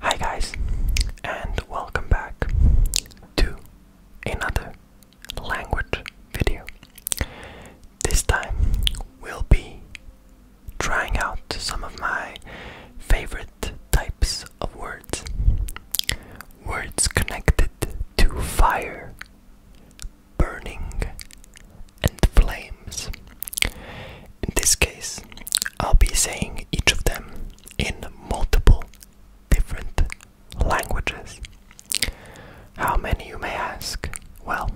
Hi guys, and welcome back to another language video. This time we'll be trying out some of my favorite types of words. Words connected to fire, burning, and flames. In this case, I'll be saying each of them in multiple different languages. How many, you may ask? Well,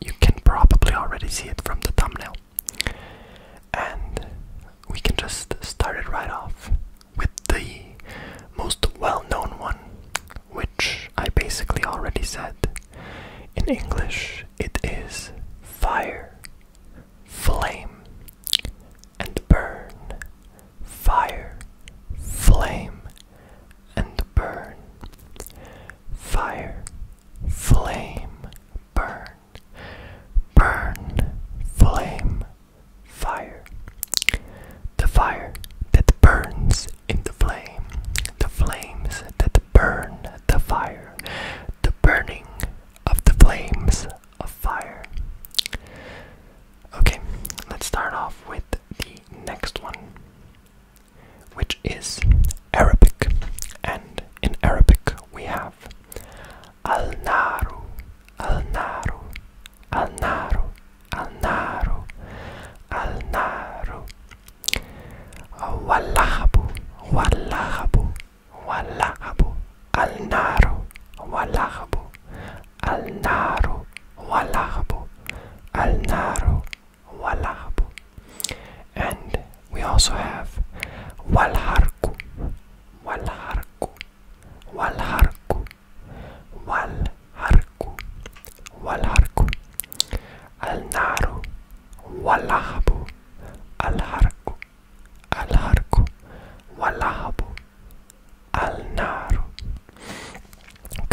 you can probably already see it from the thumbnail. And we can just start it right off with the most well known one, which I basically already said in English it is fire, flame, and burn. Fire, flame, and burn. Fire, flame, burn. Burn, flame, fire. The fire that burns in the flame the flames that burn the fire, the burning of the flames of fire. Okay, let's start off with the next one, which is Arabic. And in Arabic, we have Al Naru, Al Naru, Al Naru, Al Naru, Wallahabu, wallahabu, wallahabu, al-naru, wallahabu, al-naru, wallahabu, And we also have walharku, walharku, walharku, walharku, walharku, al واللعب الحرق الحرق واللعب النار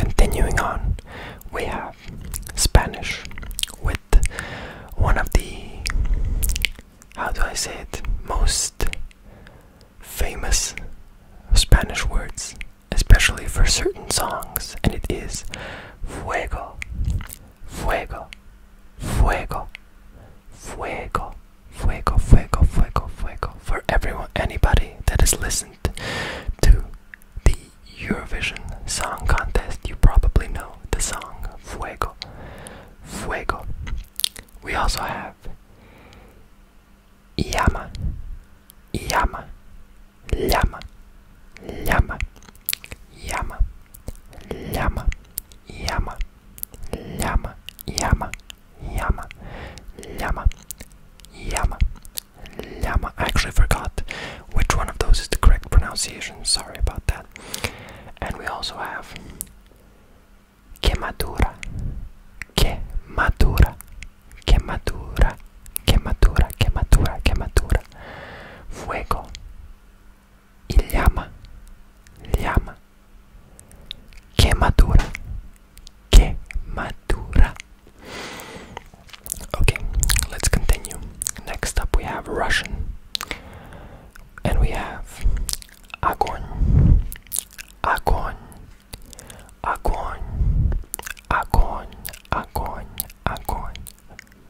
Continuing on, we have Spanish with one of the, how do I say it, most famous Spanish words, especially for certain songs, and it is fuego, fuego, fuego, fuego, fuego, fuego, fuego, fuego. For everyone, anybody that has listened to the Eurovision Song Contest, you probably know the song Fuego, Fuego. We also have Llama, Llama, llama, llama, llama, llama, llama, llama, llama, llama, llama, llama, llama. I actually forgot which one of those is the correct pronunciation. Sorry about that. And we also have quemadura, quemadura, quemadura, Que que madura, madura, que madura. fuego y llama, llama, que madura. Okay, let's continue. Next up, we have Russian, and we have огонь, огонь, огонь, огонь, огонь, огонь.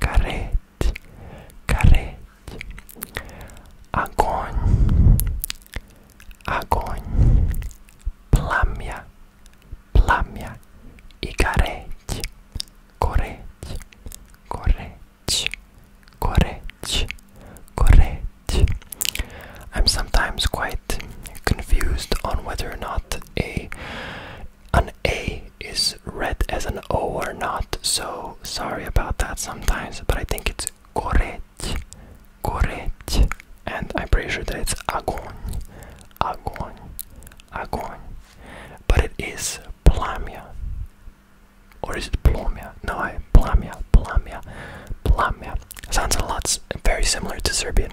carretti, carretti, agony, agony, plamia, plamia, i carretti, corretti, corretti, corretti, corretti. I'm sometimes quite confused on whether or not a an A is read as an O or not, so sorry about that sometimes, but I think it's correct, correct, and I'm pretty sure that it's agon, agon, agon, but it is plamia, or is it plomia? No, I, plamia, plamia, plamia. Sounds a lot very similar to Serbian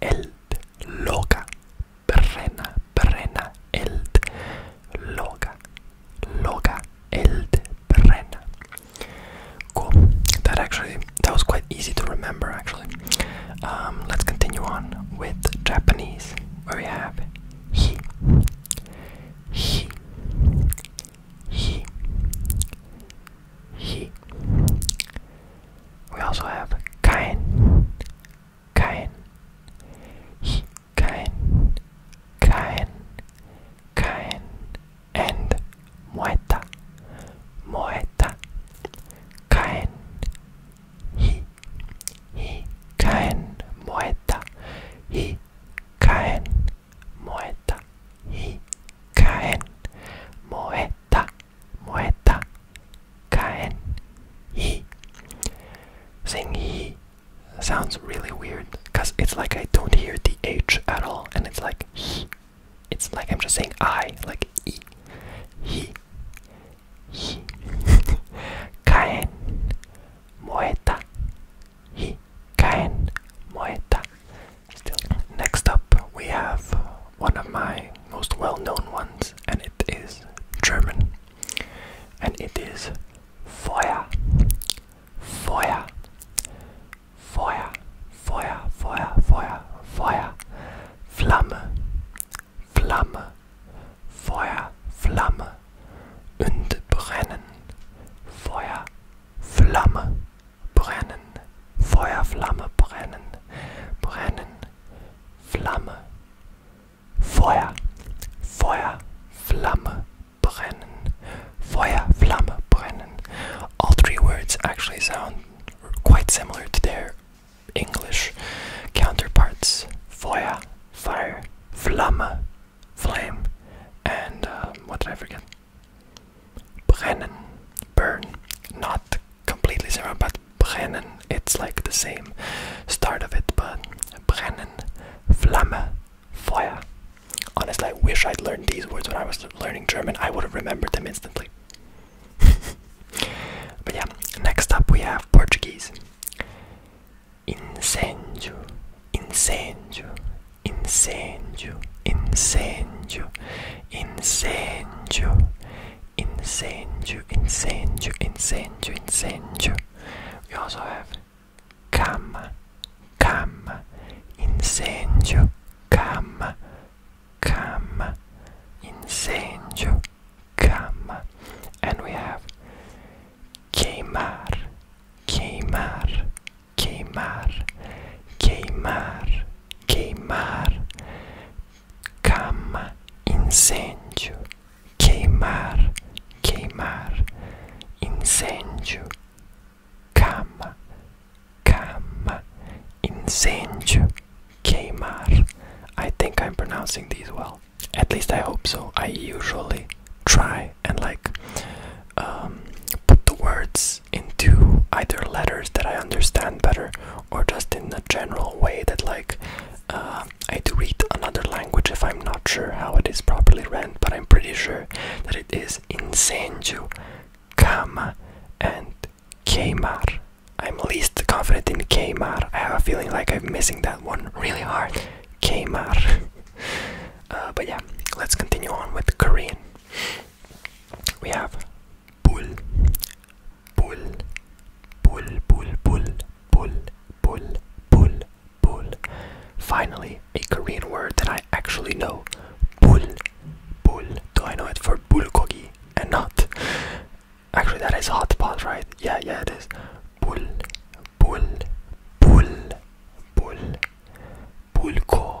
Eld loka, brenna, brenna, eld loka, loka, eld brenna. Cool. That actually that was quite easy to remember. Actually, um, let's continue on with Japanese, where we have he, he, he, he. We also have kein, kein, he, kein, kein, kein, and moeta, moeta, kein, he, he, kein, moeta, he, kein, moeta, he, kein, moeta. Moeta, caen, y. Saying y sounds really weird because it's like I don't hear the h at all, and it's like he. It's like I'm just saying I, like e, he, he, caen, moeta, he, caen, moeta. Next up, we have one of my most well known ones, and it is German. And it is Feuer. Feuer. Feuer. Feuer. Feuer. Feuer. Feuer. Flamme. Flamme. Feuer. Flamme. Und brennen. Feuer. Flamme brennen, Feuerflamme, brennen, brennen, Flamme, Feuer, Feuer, Flamme, brennen, Feuer, Flamme, brennen. All three words actually sound quite similar to their English counterparts. Feuer, fire, Flamme, flame, and um, what did I forget? brennen, burn, not completely similar, but brennen, it's like the same start of it, but brennen, flamme, feuer. Honestly, I wish I'd learned these words when I was learning German. I would have remembered them instantly. but yeah, next up we have Portuguese. Incêndio, incêndio, incêndio, incêndio incendio, incendio, incendio, incendio, incendio. We also have cama, cama, incendio, cama, cama, incendio, cama. And we have queimar, queimar, queimar, queimar queimar, cama, incêndio, queimar, queimar, incêndio, cama, cama, incêndio, queimar. I think I'm pronouncing these well. At least I hope so. I usually try and like um, put the words this into either letters that I understand better or just in a general way that like uh, I do read another language if I'm not sure how it is properly read, but I'm pretty sure that it is incendio, kama, and Kamar. I'm least confident in Kamar. I have a feeling like I'm missing that one really hard. Kamar. Uh, but yeah, let's continue on with Korean. We have bull, bull, bull, bull, bull, bull, bull, bull, bull. Finally, a Korean word that I actually know. Bull, bull. Do I know it for bulgogi and not? Actually, that is hot pot, right? Yeah, yeah, it is. Bull, bull, bull, bull, bulko,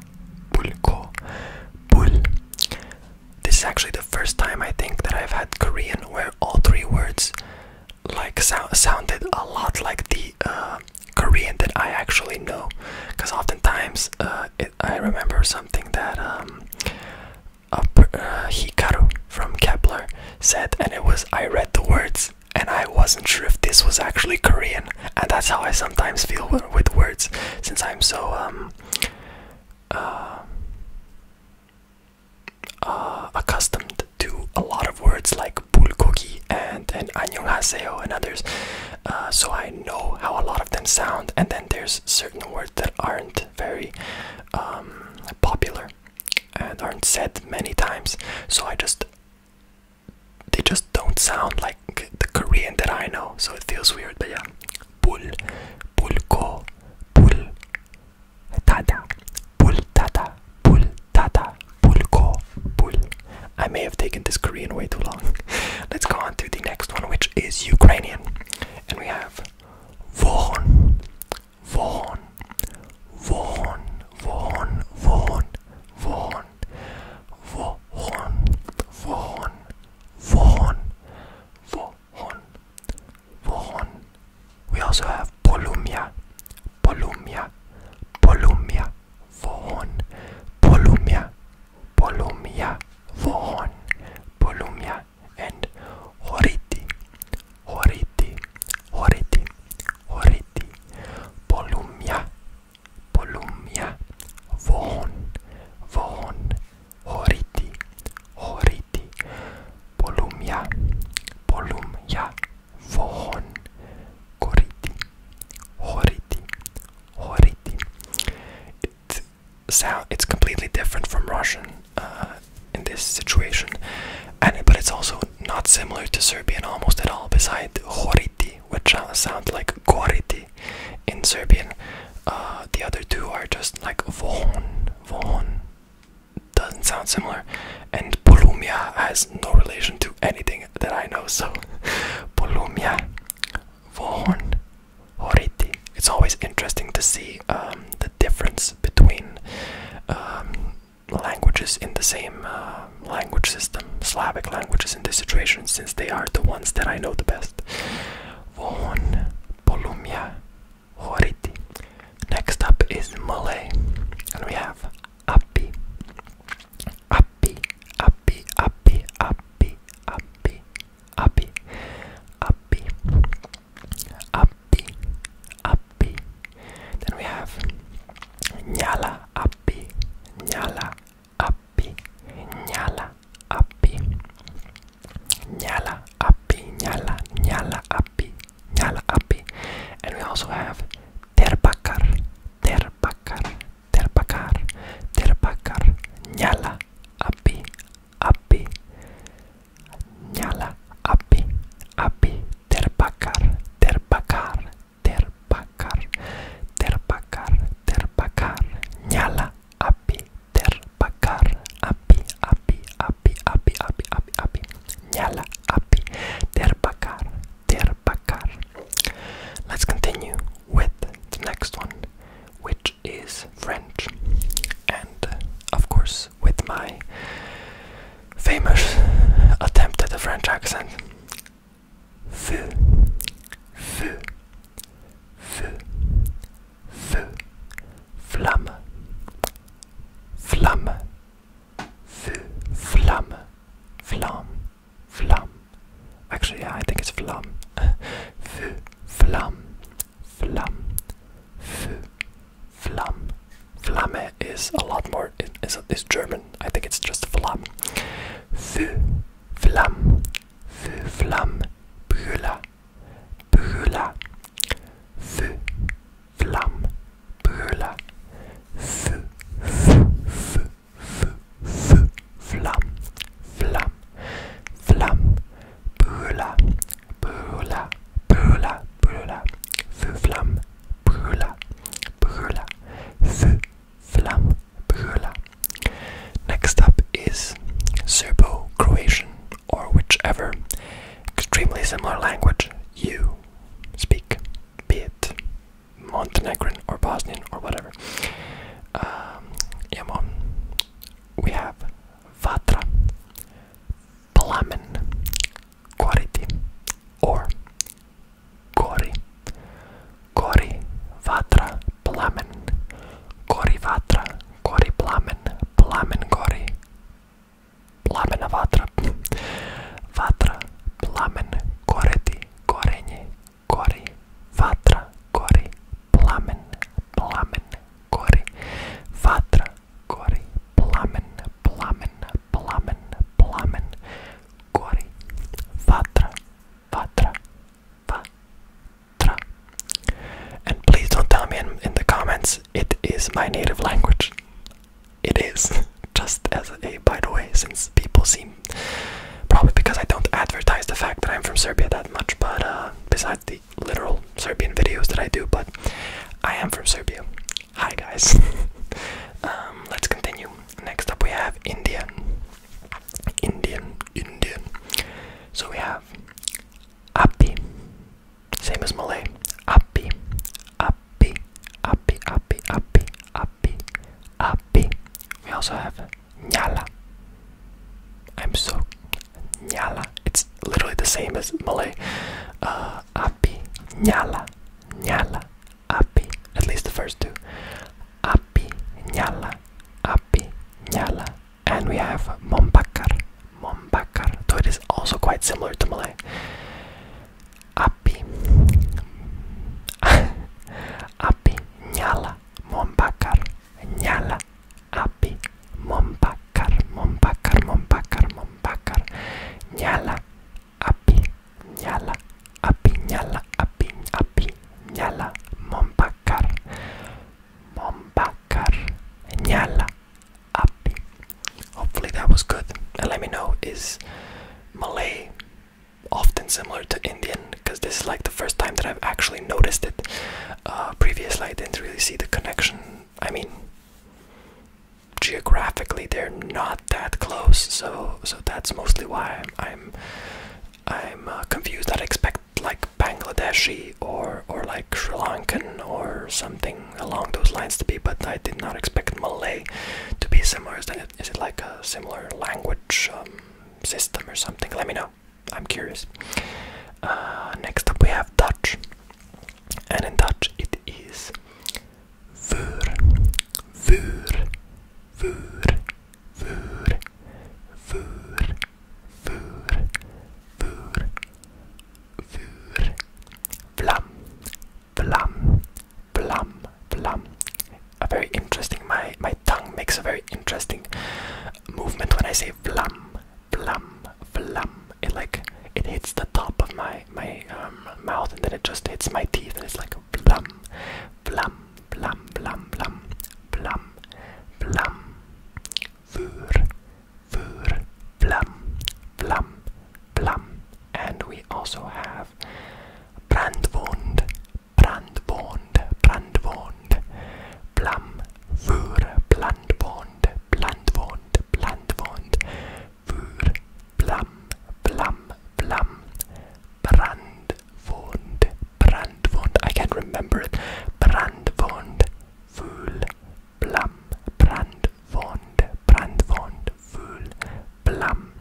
bulko, bul. This is actually the first time I think that I've had Korean where all three words like sounded a lot like the uh, Korean that I actually know. Because oftentimes uh, I remember something that um, uh, Hikaru from Kepler said, and it was I read the words and I wasn't sure if this was actually Korean and that's how I sometimes feel with, words, since I'm so um, uh, uh, accustomed to a lot of words like bulgogi and and annyeonghaseyo and others. Uh, so I know how a lot of them sound, and then there's certain words that aren't very um, popular and aren't said many times. So I just they just don't sound like the Korean that I know, so it feels weird. But yeah, bul, bulko, bul, tada, bul tada, bul tada, bulko, bul. I may have taken this Korean way too long. Let's go on to the next one, which is Ukrainian, and we have von, von, von, von, von, von, Vaughan, Vaughan, Vaughan, Vaughan, Vaughan, Vaughan. We also have Polumia, Polumia, Polumia, Vaughan, Polumia, Polumia, Vaughan, Polumia, and Horiti, Horiti, Horiti, Horiti, Polumia, Polumia, Von, Von, Horiti, Horiti, Polumia, Polumia, Von, Koriti, Horiti, Horiti. It it's completely different from Russian uh, in this situation, and but it's also not similar to Serbian almost at all. Beside horiti which uh, sound like Goriti in Serbian. Uh, the other two are just like Von, Von, doesn't sound similar. And Polumia has no relation to anything that I know, so Polumia, Von, Goriti. It's always interesting to see um, the difference between um, languages in the same uh, language system, Slavic languages in this situation, since they are the ones that I know the best. Vohon Polumia Horiti. Next up is Malay, and we have Api. Api, Api, Api, Api, Api, Api, Api, Api, Api. Then we have Nyala, api, ñala, api, ñala, api, ñala, api, ñala, ñala, api, ñala, api. And we also have terbakar terbakar terbakar terbakar ñala, api, api, ñala, api, api, terpacar terpacar. terpacar, terpacar, terpacar, nyala, api, terpacar, api, api, api, api, api, api, nyala, api, terpacar, terpacar. Let's continue with the next one, which is French, and of course with my famous attempt at a French accent feu, feu, feu, feu, flamme, flamme, feu, flamme, flamme, flamme. Actually, yeah, I think it's flamme. feu, flamme, flamme, feu, flamme. Flamme is a lot more or it, it's, it's German. I think it's just Flam. Für Flam. Für Flam. Brüller. Brüller. Für Flam. Brüller. Für, für, für, für, für Flam. Flam. Flam. Brüller. Brüller. Brüller. Brüller. Für Flam. Brüller. Brüller. Für Flam Next up is Serbo Croatian or whichever extremely similar language you speak, be it Montenegrin or Bosnian or whatever. Um, We have Vatra, Plamen, quality or Gori Gori Vatra Plamen Gori Vatra Gori Plamen Plamen Gori Plamen Vatra Vatra Plamen Goreti Goreni Gori Vatra Gori Plamen Plamen Gori Vatra Gori Plamen Plamen plamen, plamen, gori, vatra, vatra, vatra. And please don't tell me in, in the comments it is my native language. It is. Just as a by the way, since people seem probably because I don't advertise the fact that I'm from Serbia that much, but uh, besides the literal Serbian videos that I do, but I am from Serbia. Hi guys. um, let's continue. Next up we have Indian. Indian, Indian. So we have Api. Same as Malay. Api. Api. Api. Api. Api. Api. Api. We also have Nyala. I'm so Nyala. It's literally the same as Malay. Uh, api. Nyala. Nyala api, at least the first two. Api nyala, api nyala, and we have mombakar, mombakar. So it is also quite similar to Malay. Api, api nyala, mombakar, nyala, api, mombakar, mombakar, mombakar, mombakar, nyala apiñala, apiñala, api, apiñala, mombacar, mombacar, ñala, api. Hopefully that was good. And let me know, is Malay often similar to Indian? Because this is like the first time that I've actually noticed it. Uh, previously, I didn't really see the connection. I mean, geographically they're not that close so so that's mostly why i'm i'm, i uh, confused i expect like bangladeshi or or like sri lankan or something along those lines to be but i did not expect malay to be similar is, that, is it like a similar language um, system or something let me know i'm curious uh, next up we have dutch and in dutch it is Vur, vur, vur, vur, vur, vur, vur, vur. Vlam, vlam, vlam, vlam. A very interesting. My my tongue makes a very interesting movement when I say vlam, vlam, vlam. It like it hits the top of my my um, mouth, and then it just hits my teeth, and it's like blum, blum, blum, blum, blum, blum, blum, vur, vur, blum, blum, blum, and we also have brandwond, brandwond, brandwond, blum, vur, blandwond, blandwond, blandwond voor vlam, vlam, vlam, brandwond, brandwond. I can't remember it. Brandwond, voel, blam, brandwond, brandwond, voel, blam.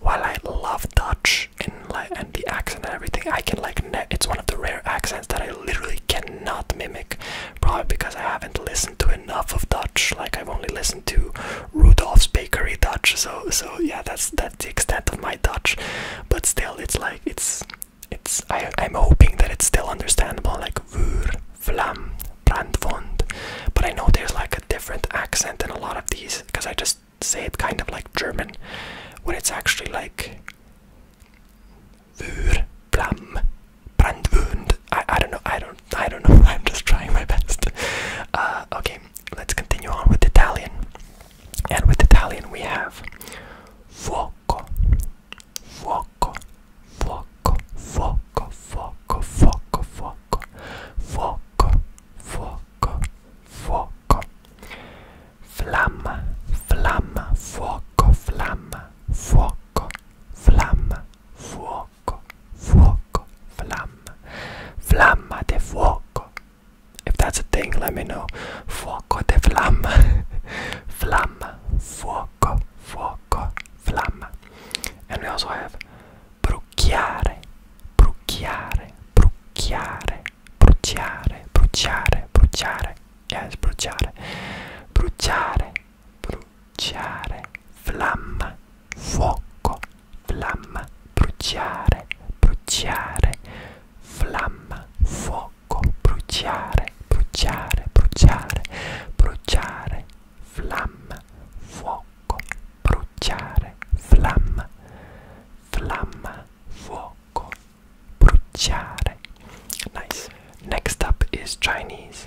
While I love Dutch and like and the accent and everything, I can like it's one of the rare accents that I literally cannot mimic. Probably because I haven't listened to enough of Dutch. Like I've only listened to Rudolph's Bakery Dutch. So so yeah, that's that's the extent of my Dutch. But still, it's like it's it's. I, am hoping that it's still understandable. Like vuur, Flam Brandfont. But I know there's like a different accent in a lot of these because I just say it kind of like German, when it's actually like vuur, Flam. Brandwund. I I don't know. I don't I don't know. I'm just trying my best. Uh, okay, let's continue on with Italian. And with Italian we have fuoco, fuoco, fuoco, fuoco, fuoco, fuoco, fuoco, fuoco, fuoco, fuoco. Flamma, flamma, fuoco, flamma, fuoco, flamma, fuoco. fuoco, fuoco, flamma, flamma de fuoco. If that's a thing, let me know. Fuoco de flamma, flamma, fuoco, fuoco, flamma. And we also have brucchiare, brucchiare, brucchiare, bruciare, bruciare, bruciare. Yes, bruciare, bruciare bruciare, flamma, fuoco, flamma, bruciare, bruciare, flamma, fuoco, bruciare, bruciare, bruciare, bruciare, flamma, fuoco, bruciare, flamma, flamma, fuoco, bruciare. Nice. Next up is Chinese.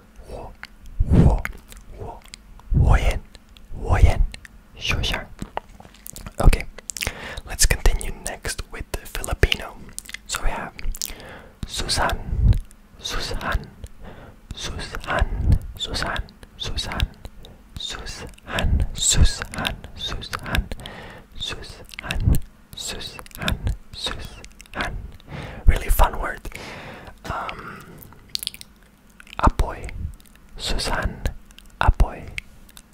我我我我演我演 sure okay let's continue next with Filipino so we have Susan Susan Susan Susan Susan Susan Susan Susan Susan Susan Susan Han. Really fun word. Um, apoy. Susan. Apoy.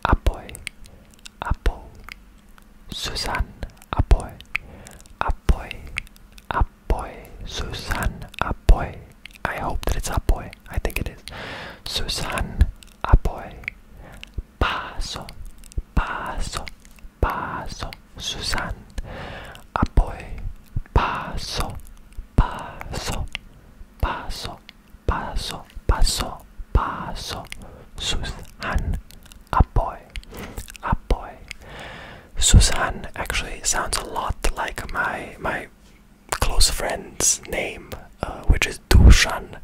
Apoy. Apo. Susan. Apoy. Apoy. Apoy. Susan. Apoy. I hope that it's apoy. I think it is. Susan. Apoy. Paso. Paso paso, Susan. Apoy, paso, paso, paso, paso, paso, paso, Susan. Apoy, apoy. Susan actually sounds a lot like my my close friend's name, uh, which is Dushan.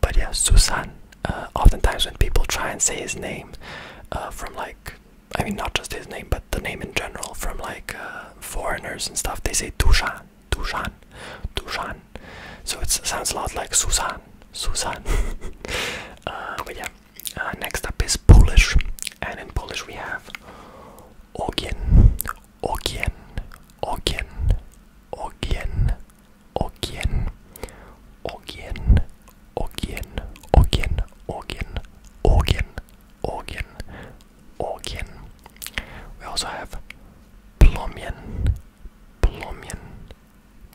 But yeah, Susan. Uh, oftentimes when people try and say his name uh, from like I mean, not just his name, but the name in general from like uh, foreigners and stuff. They say Tushan, Tushan, Tushan. So it sounds a lot like Susan, Susan. Uh, but yeah, uh, next up is Polish, and in Polish we have Ogen, Ogen, Ogen, Ogen, Ogen, Ogen. Orgien, Orgien, Orgien, Orgien, Orgien, Orgien. We also have Plomian, Plomian,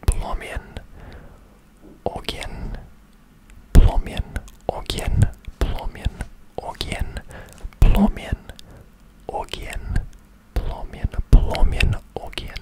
Plomian, Orgien, Plomian, Orgien, Plomian, Orgien, Plomian, Orgien, Plomian, Plomian, Orgien.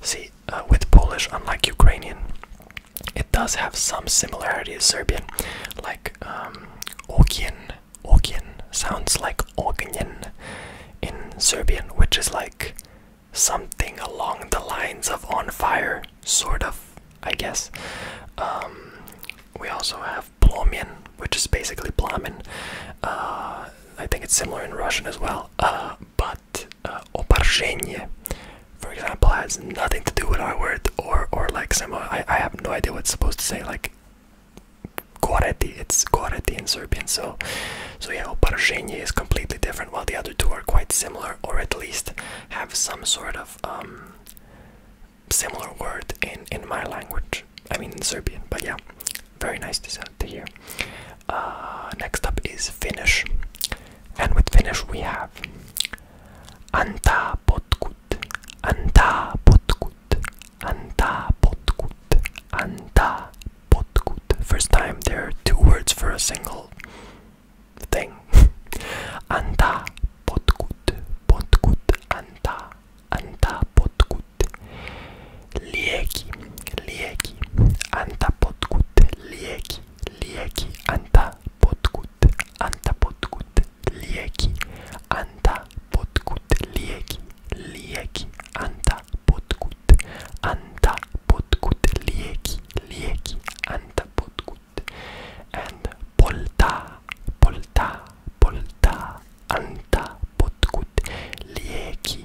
See, uh, with Polish, unlike Ukrainian, it does have some similarity to Serbian, like um, Ogien, Ogien sounds like Ognjen in Serbian, which is like something along the lines of on fire, sort of, I guess. Um, we also have Plomin, which is basically Plamen. Uh, I think it's similar in Russian as well. Uh, but uh, for example, has nothing to do with our word or or like similar. I have no idea what's supposed to say like. Koreti, it's koreti in Serbian. So, so yeah, oparshenie is completely different, while the other two are quite similar, or at least have some sort of um, similar word in in my language. I mean, Serbian. But yeah, very nice to, to hear. Uh, next up is Finnish. And with Finnish, we have Anta Potkut. Anta Potkut. Anta Potkut. Anta Potkut. First time there are two words for a single thing. Anta Potkut. Potkut. Anta. Anta Potkut. potkut. Lieki, lieki, anta potkut. Lieki, lieki, anta potkut. Anta potkut, lieki, anta potkut. Lieki, lieki, anta potkut. Anta potkut, lieki, lieki, anta potkut. And polta, polta, polta. Anta potkut lieki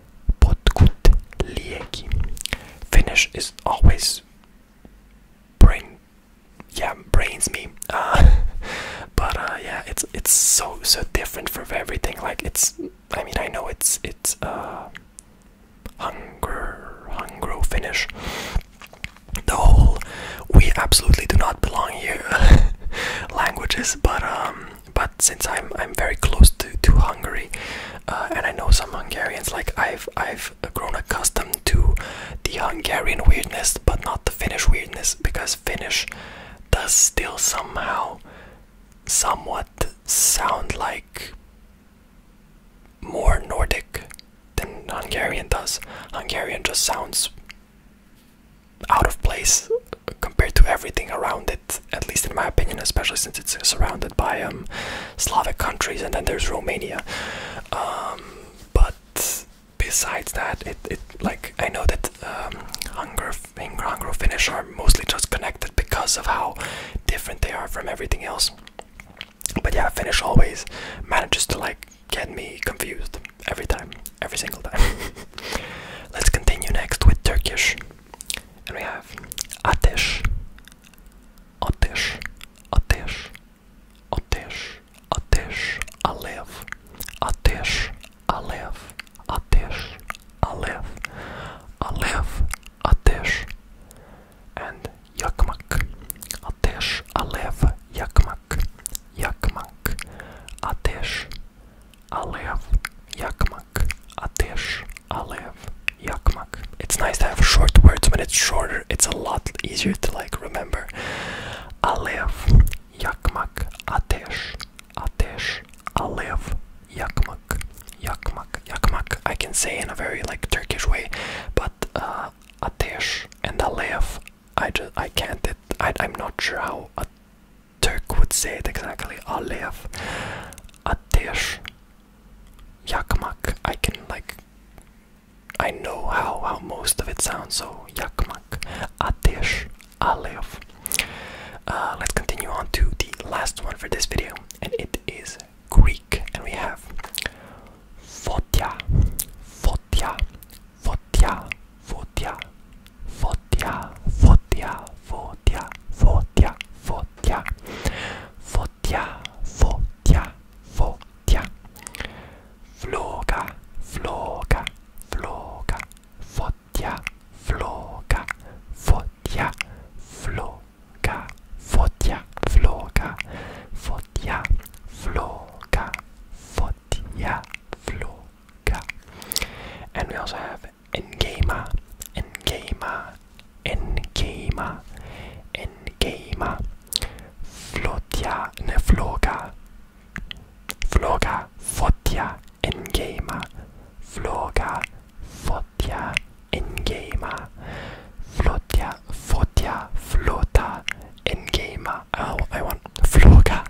Podgutlieki. Finnish is always brain, yeah, brains me. Uh, but uh, yeah, it's it's so so different from everything. Like it's, I mean, I know it's it's uh, hunger, hungro Finnish. The whole we absolutely do not belong here languages, but um, but since I'm I'm very close to to Hungary, uh, and I know some Hungarians. Like I've I've grown accustomed to the Hungarian weirdness, but not the Finnish weirdness, because Finnish does still somehow, somewhat sound like more Nordic than Hungarian does. Hungarian just sounds out of place compared to everything around it at least in my opinion, especially since it's surrounded by um, Slavic countries, and then there's Romania. Um, but besides that, it, like I know that um, Hungar, Hungary, Hungary, Finnish are mostly just connected because of how different they are from everything else. But yeah, Finnish always manages to like get me confused every time, every single time. Let's continue next with Turkish. And we have Atesh, Atesh, Atesh, Atesh, Atesh, Alev, Atesh, Alev, Atesh, Alev, Alev, Atesh, and Yakmak, Atesh, Alev, Yakmak, Yakmak, Atesh, Alev, Yakmak. Yakmak. Ateş alev yakmak. It's nice to have short words when it's shorter. It's a lot easier to like remember. Alev yakmak. Ateş. Ateş alev yakmak. Yakmak. Yakmak. I can say in a very like Turkish way, but uh, ateş and alev. I just I can't. It, I I'm not sure how a Turk would say it exactly. Alev. Ateş Yakmak. I can like I know how how most of it sounds, so yakmak, atesh, alev. Uh, let's continue on to the last one for this video, and it is Greek, and we have fotia, fotia, fotia, fotia, fotia, fotia, fotia, fotia, fotia, Fotia, Fotia, Fotia, Fotia. Floga, Floga, Floga, Fotia, Floga, Fotia, Floga, Fotia, Floga, Fotia, Floga, Fotia, Floga. And we also have N-Gamer, N-Gamer, N-Gamer, n Flotia, ne Floga, Floga, Fotia, n Floga, Fotia, N-Gamer, Flotia, Flota, n oh, I want Floga.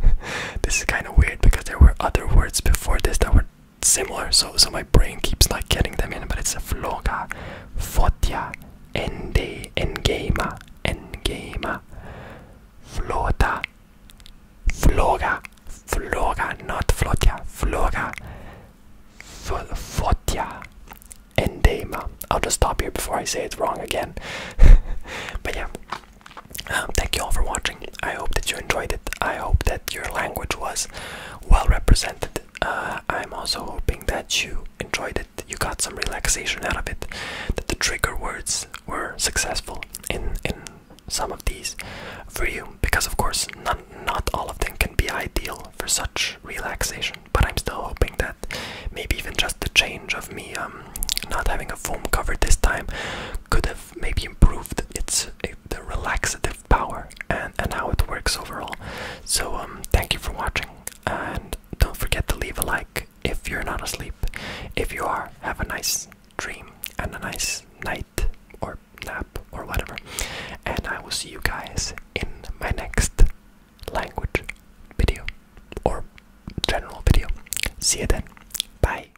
this is kind of weird because there were other words before this that were similar, so so my brain keeps not getting them in, but it's a floga, fotia, ende, engema, engema, flota, floga, floga, not flotia, floga, fotia, endema. I'll just stop here before I say it wrong again. but yeah, um, thank you all for watching. I hope that you enjoyed it. I hope that your language was well represented. Uh, I'm also hoping that you enjoyed it, you got some relaxation out of it, that the trigger words were successful in in some of these for you, because of course not not all of them can be ideal for such relaxation. But I'm still hoping that maybe even just the change of me um, not having a foam cover this time could have maybe improved its the, relaxative power and, and how it works overall. So um, thank you for watching and don't forget to leave a like if you're not asleep. If you are, have a nice dream and a nice night or nap or whatever. And I will see you guys in my next language video or general video. See you then. Bye.